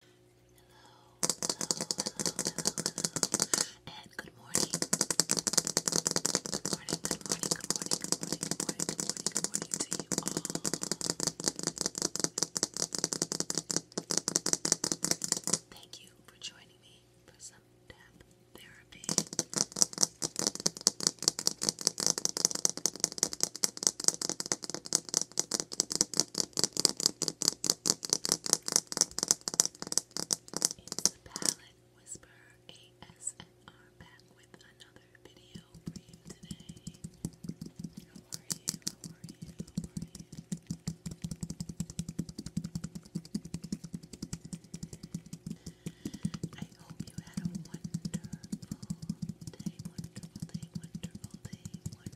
hello, and good morning. Good morning, good morning, good morning, good morning, good morning, good morning, good morning Thank you for joining me for some tap therapy. It's the Palette Whisper ASMR back with another video for you today. How are you? How are you? How are you? I hope you had a wonderful day, wonderful day, wonderful day, I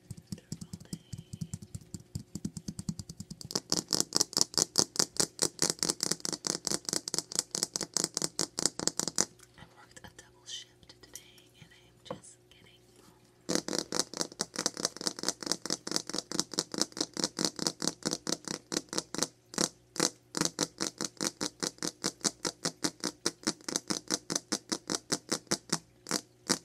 worked a double shift today and I am just getting home. And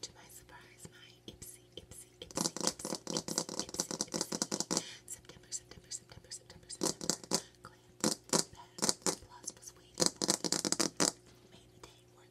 to my surprise, my Ipsy, Ipsy, Ipsy, Ipsy, Ipsy, Ipsy, Ipsy, September, September, September, September, September, Glam Bad Plus was waiting for me. May the day worth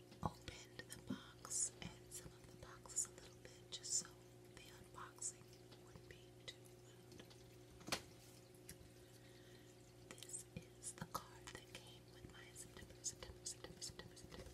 I opened the box and some of the boxes a little bit just so the unboxing wouldn't be too This is the card that came with my September, September, September, September, September,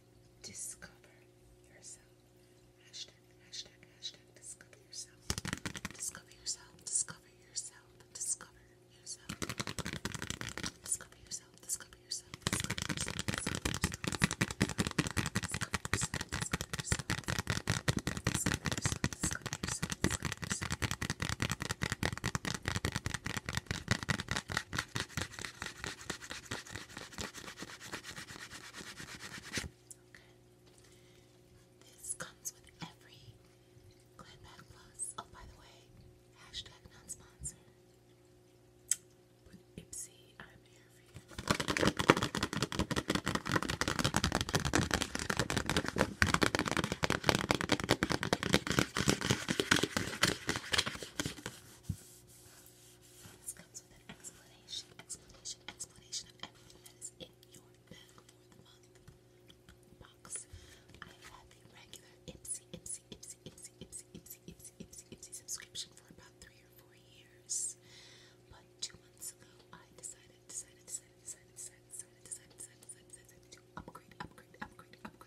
Discover yourself. This comes with every Glen Back Plus. Oh, by the way, hashtag non sponsor. With Ipsy, I'm here for you. This comes with an explanation, explanation, explanation of everything that is in your bag for the month box. I had the regular Ipsy, Ipsy, Ipsy, Ipsy, Ipsy, Ipsy, Ipsy, Ipsy, Ipsy subscription for about three or four years. But two months ago, I decided, decided, decided, decided, decided, decided, decided, decided, decided to upgrade, upgrade, upgrade, upgrade.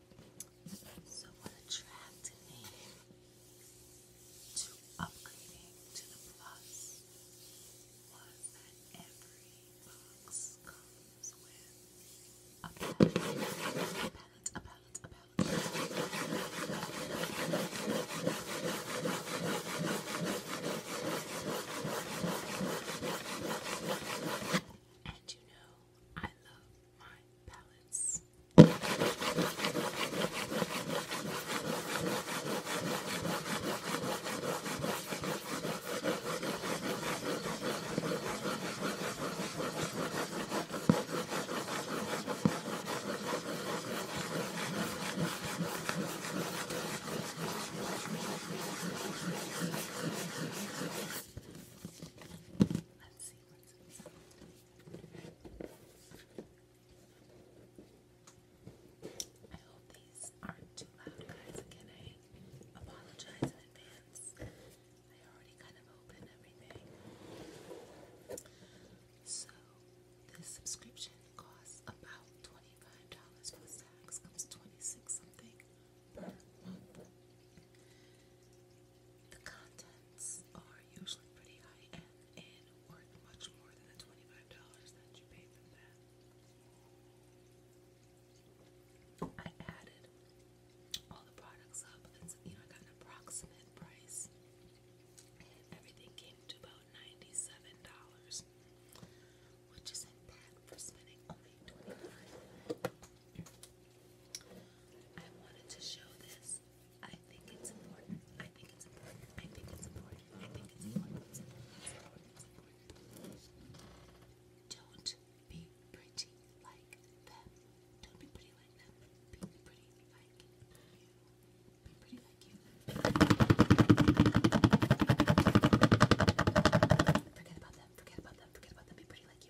So, what attracted me to upgrading to the Plus was that every box comes with a palette, a palette, a palette, a palette. And you know, I love my palettes. Let's see I hope these aren't too loud, guys. Again, I apologize in advance. I already kind of opened everything. So, this subscription costs about $25 plus tax, comes 26 something. The contents are usually pretty high end and worth much more than the $25 that you paid for that. I added all the products up and you know I got an approximate price and everything came to about $97 which isn't bad for spending only $25 I wanted to show this. I think it's important. I think it's important. I think it's important. I think it's important. Don't be pretty like them. Don't be pretty like them. Be pretty like you. Be pretty like you. Forget about them. Forget about them. Forget about them. Be pretty like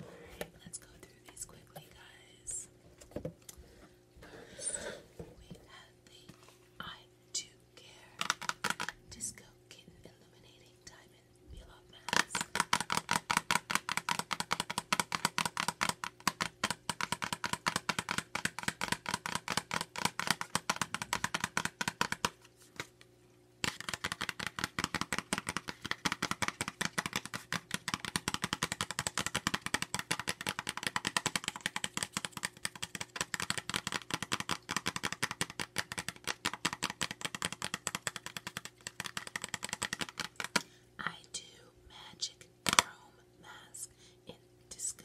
Alright, let's go through these quickly, guys. First, we have the I Do Care Disco Kitten Illuminating Diamond Peel Mask. I do magic chrome mask in disco.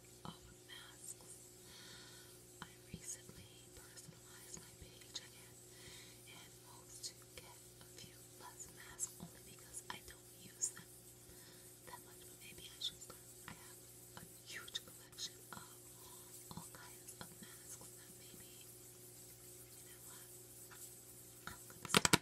of masks. I recently personalized my page again and hopes to get a few less masks only because I don't use them that much. But maybe I should start. I have a huge collection of all kinds of masks that maybe, you know what, I'm gonna start.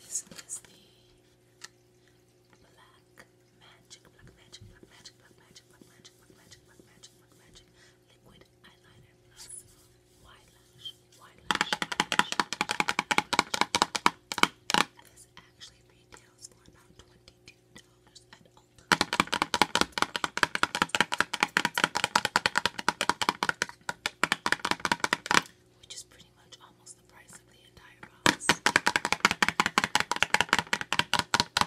This is the black magic, black magic, black magic, black magic, black magic, black magic, black magic, black magic, liquid eyeliner wide lash, wide lash, This actually retails for about twenty-two dollars at Ulta. Which is pretty much almost the price of the entire box.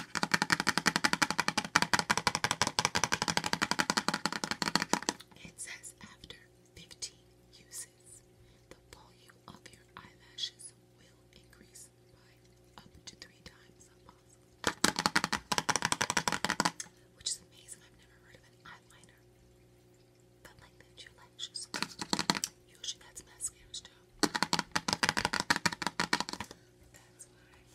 It says after 15 uses, the volume of your eyelashes will increase by up to three times Which is amazing. I've never heard of an eyeliner that lengthens your lashes. Usually that's mascara's job. That's why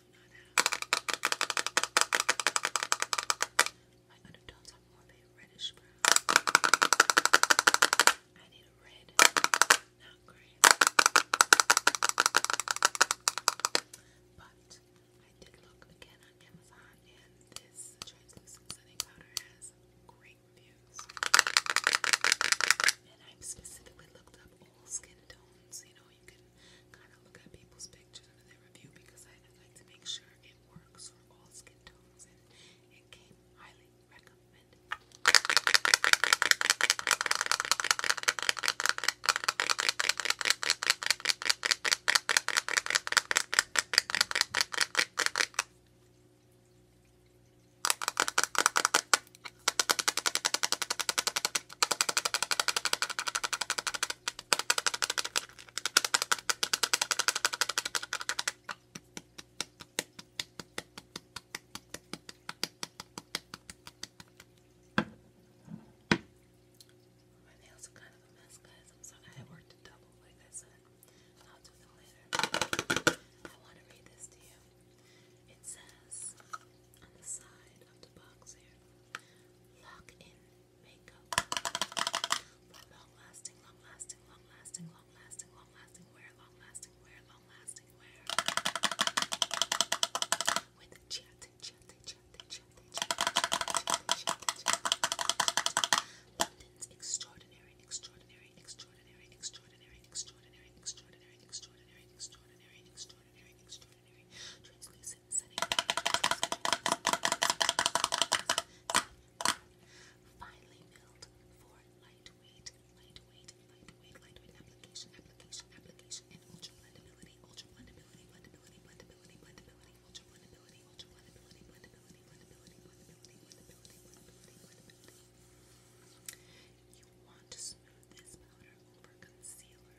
My undertones are more of a reddish brown. I need a red, not gray. But I did look again on Amazon, and this translucent setting powder has great reviews. And i specifically looked up all skin tones. You know, you can kind of look at people's pictures under review because I like to make sure it works for all skin tones and it came highly recommended. My nails are kind of a mess, guys. I'm sorry I worked a double, like I said. I'll do them later. I want to read this to you. It says, on the side of the box here. Lock in makeup for long lasting, long lasting, long lasting, long lasting, long lasting wear, long lasting wear, long lasting wear. With chat, chat, chat, chat, chat, chat, London's extraordinary, extraordinary, extraordinary, extraordinary, extraordinary, extraordinary, extraordinary, extraordinary, extraordinary, extraordinary, extraordinary ordinary, milled for lightweight, lightweight, lightweight, lightweight application, application, application, and ultra blendability, ultra blendability, blendability, blendability, blendability, ultra blendability, ultra blendability, blendability, blendability, blendability, blendability, blendability, blendability. You want to smooth this powder over concealer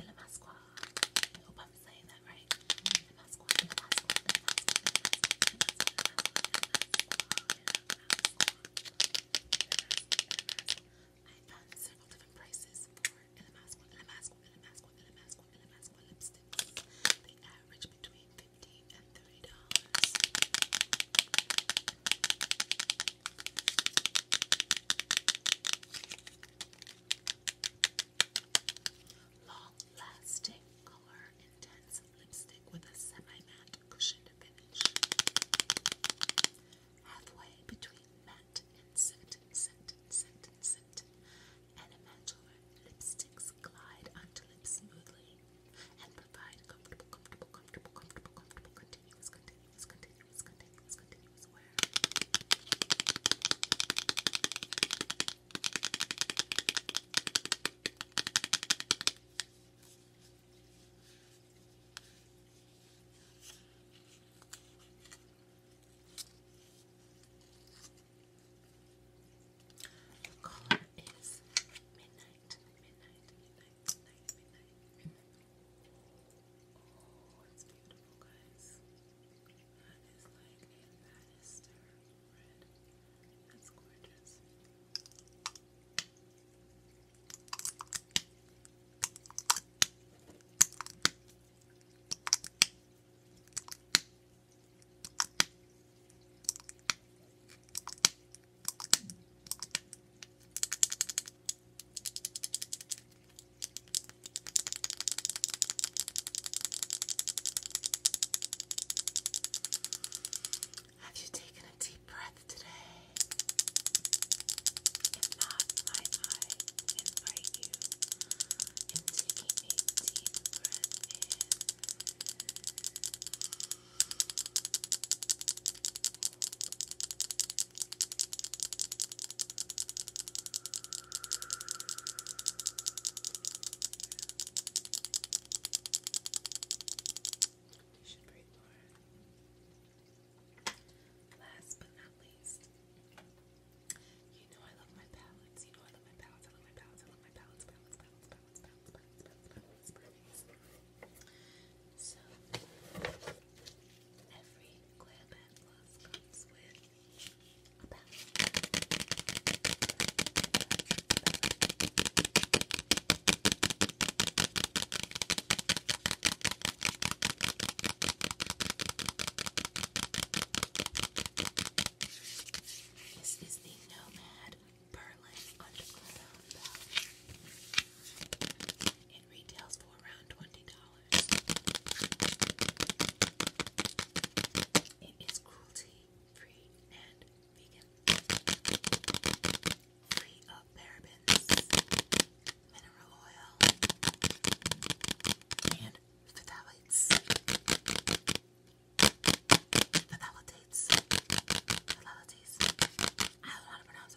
Lamasqua. I hope I'm saying that right. Lamasqua, Lamasqua, I found several different prices for Lamasqua, Lamasqua, Lamasqua, Lamasqua, Lamasqua lipsticks. They average between fifteen and thirty dollars. Long-lasting color, intense lipstick with a semi-matte cushioned finish. Halfway between matte and scent, scent, scent, scent, and immaculate lipsticks glide onto lips smoothly and provide comfortable, comfortable, comfortable, comfortable, comfortable, continuous, continuous continuous, continuous, continuous, continuous The color is midnight, midnight, midnight, midnight, midnight. midnight. Oh, it's beautiful, guys. That is like a Bannister That's gorgeous. Have you taken a deep breath today? If not, might I invite you in taking a deep breath in? You should breathe more. Last but not least, you know I love my palettes. You know I love my palettes. I love my palettes. I love my palettes. Palettes, palettes, palettes, palettes, palettes, palettes, palettes, palettes, palettes. So every coil band comes with a palette. This is the Nomad Berlin Underground palette and retails for around $20. It is cruelty free and vegan, free of parabens, mineral oil, and phthalates. Phthalates. Phthalates. I don't know how to pronounce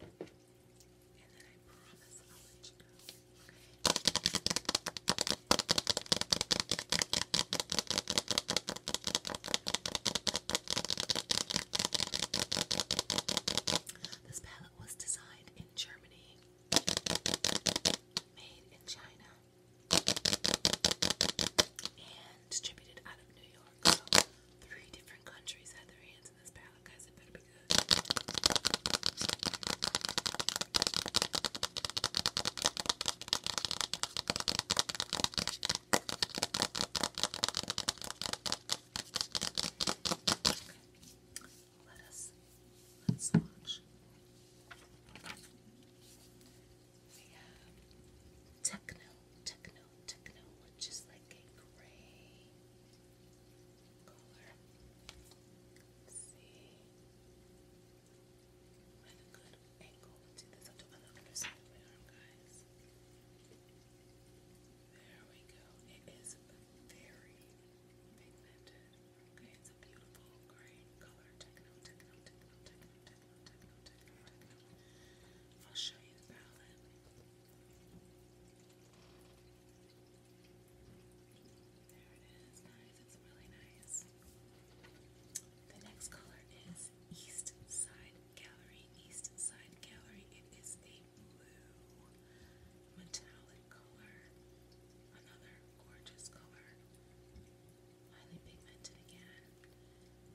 and you This palette was designed in Germany, made in China, and distributed out of New York. So three different countries had their hands in this palette, guys. It better be good. Let us let's swatch. We have techno, techno, note which is like a gray color. Let's see. What a good angle to this. I'll do on side of my arm, guys. There we go. It is very pigmented. Okay, it's a beautiful gray color. Techno, techno, techno, techno, I'll show you the palette. There it is, guys. It's really nice. The next color is East Side Gallery. East Side Gallery. It is a blue metallic color. Another gorgeous color. Highly pigmented again.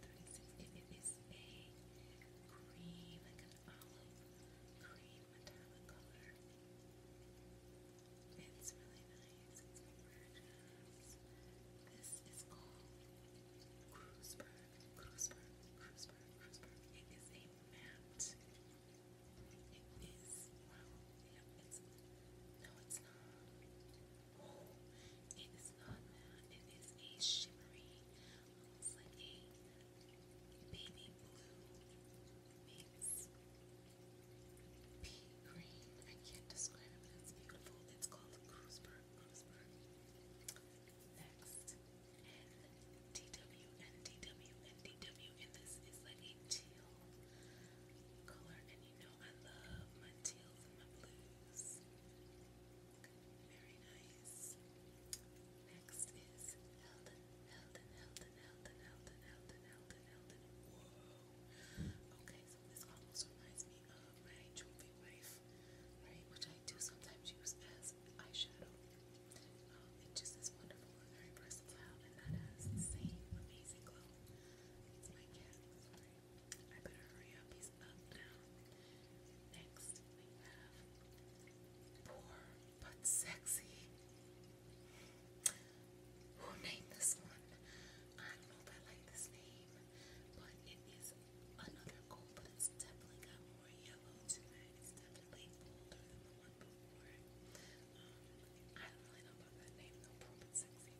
36. It, it is a cream, like an olive cream metallic color. It's really nice. This is called Cruiseberg. Cruiseberg. Cruiseberg. Cruiseberg. It is a matte. It's. No, it's not. It is not It is a shimmery, almost like a baby blue meets pea green. I can't describe it, it's beautiful. It's called Cruiseberg. Cruiseberg. Next, and DW and DW and DW, and this is like a teal color, and you know I love my teals and my blues. Very nice. Next is Helden, Helden, Helden, Helden, Helden, Helden, Helden, Helden. Whoa. Okay, so this almost reminds me of my jewelry wife, right? Which I do sometimes use as eyeshadow. Um, it just is wonderful and very versatile, and that has the same amazing glow. Sorry. I better hurry up. He's up now. Next, we have poor but sexy. Who named this one? I don't know if I like this name, but it is another gold, but it's definitely got more yellow to it. It's definitely bolder than the one before. Um, I don't really know about that name though. Poor but sexy.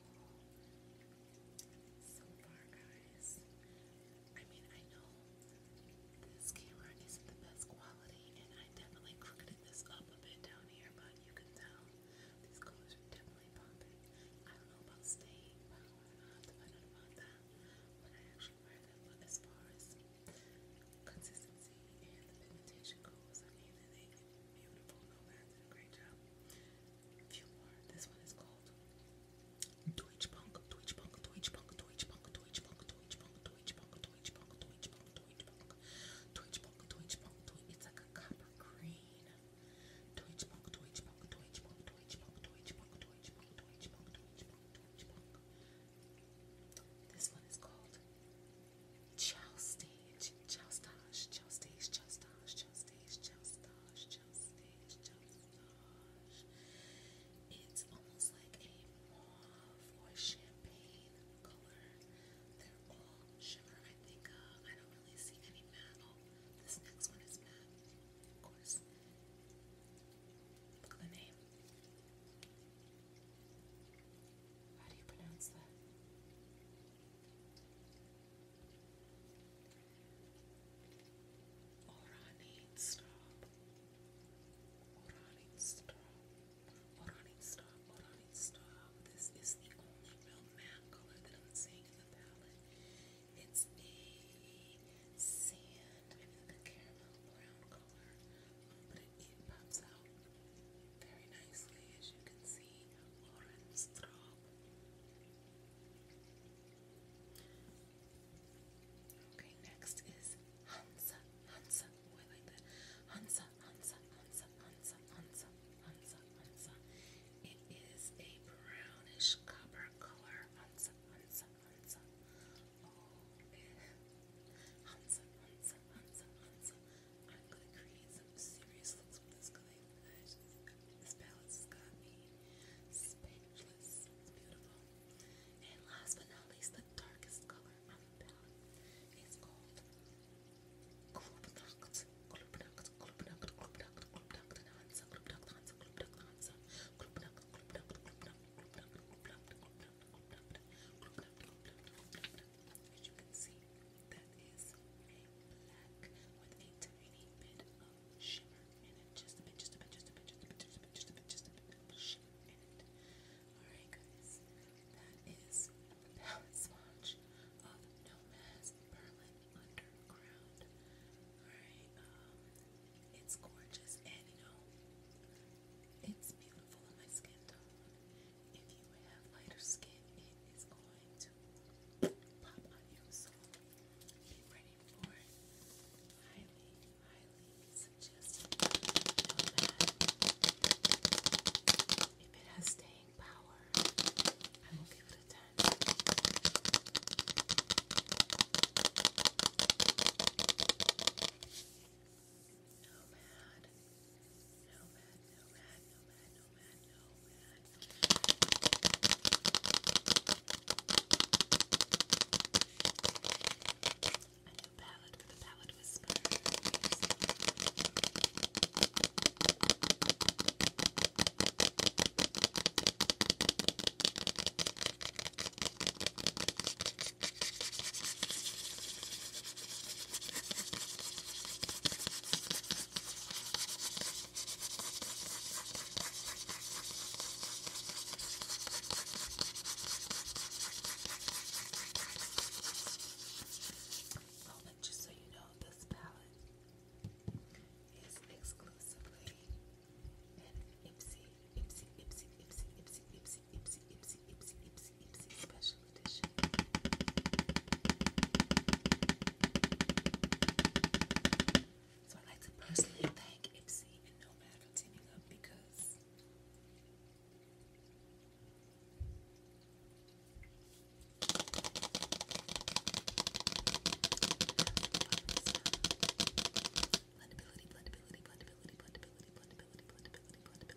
So far, guys, I mean, I know this camera isn't the best quality, and I definitely crooked this up a bit down here, but you can tell these colors are definitely popping. I don't know about staying I'll have to find out about that when I actually wear them, but as far as consistency and the pigmentation goes, I mean, they beautiful Sarah did a great job. A few more. This one is called Twitch Punk, Twitch Punk, Twitch Punk, Twitch Punk, Twitch Punk, Twitch Punk, Twitch Punk, Twitch Punk, Twitch Punk, Twitch Punk, Twitch Punk, Twitch Punk, It's like a copper green. Twitch Punk, Twitch Punk, Twitch Punk, Twitch Punk, Twitch Punk, Twitch Punk, Twitch Punk, Twitch Punk, Twitch Punk. This one is called Chelstage, Chelstage, Chelstage, Chelstage, Chelstage, Chelstage, Chelstage, Chelstage. It's almost like a mauve or champagne color. They're all sugar, I think. Uh, I don't really see any matte. Oh, this next one is matte, of course. Look at the name. How do you pronounce that? Orani stop. Orani stop. Orani stop. Orani stop. This is the only real matte color that I'm seeing in the palette. It's a sand, a caramel brown color, but it pops out very nicely, as you can see, orange drop. Okay, next is Hansa, Hansa. Oh, Hansa, Hansa, Hansa, Hansa, Hansa, Hansa. It is a brownish copper color. Hansa, Hansa, Hansa. Oh, Hansa, Hansa, Hansa, Hansa. I'm going to create some serious looks with this clay This palette's got me speechless. It's beautiful. And last but not least, the darkest color on the palette is called as you can see, that is a black with a tiny bit of shimmer in it. Just a bit, just a bit, just a bit, just a bit, just a bit, just a bit, of shimmer in it. Alright guys, that is the palette swatch of Nomad's Berlin Underground. Alright, um, it's gorgeous and you know, it's beautiful on my skin tone. If you have lighter skin, it is going to pop on you. So be ready for it. Highly, highly suggested. If it has staying power, I will give it a 10 nomad, nomad, nomad, nomad, nomad, nomad. A palette for the palette whisper. Oh, and just so you know, this palette is exclusively an Ipsy, Ipsy, Ipsy, Ipsy, Ipsy, Ipsy, Ipsy, Ipsy, Ipsy, Ipsy, Ipsy, Special Edition. So I'd like to personally thank Ipsy and Nomad for teaming up because blendability, blendability, blendability, blendability, blendability, blendability, blendability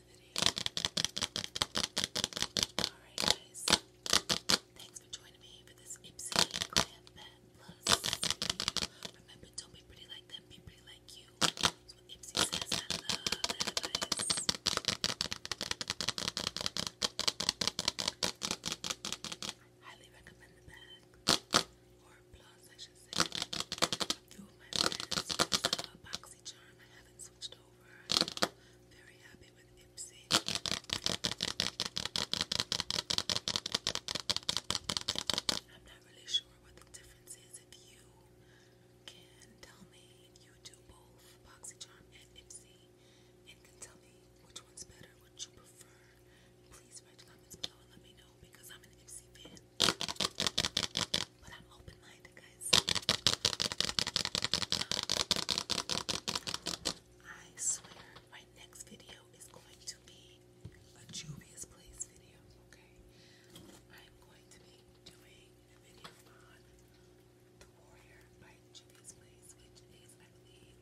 the guys. Thanks for joining me for this Ipsy Glam Bat Plus. Remember, don't be pretty like them, be pretty like you. That's what Ipsy says. I love advice. Highly recommend the bag. Or plus, I should say. Through my friends, uh, Charm. I haven't switched over over. i very happy with Ipsy. I'm not really sure what the difference is. If you can tell me, you do both BoxyCharm and Ipsy, and can tell me which one's better, which you prefer, please write comments below and let me know because I'm an Ipsy fan. But I'm open minded guys. Um, I swear, my next video is going to be a Juvia's Place video, okay? I'm going to be doing a video on The Warrior by Juvia's Place, which is, I believe,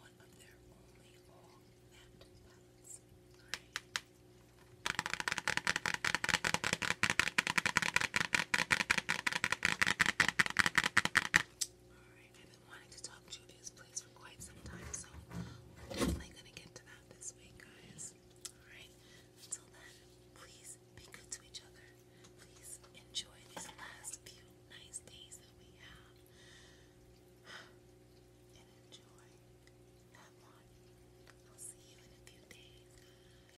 one of their only all mapped palettes. Alright, I've been wanting to talk to this place for quite some time, so we're definitely gonna get to that this week, guys. Alright, until then, please be good to each other. Please enjoy these last few nice days that we have. And enjoy that one. I'll see you in a few days.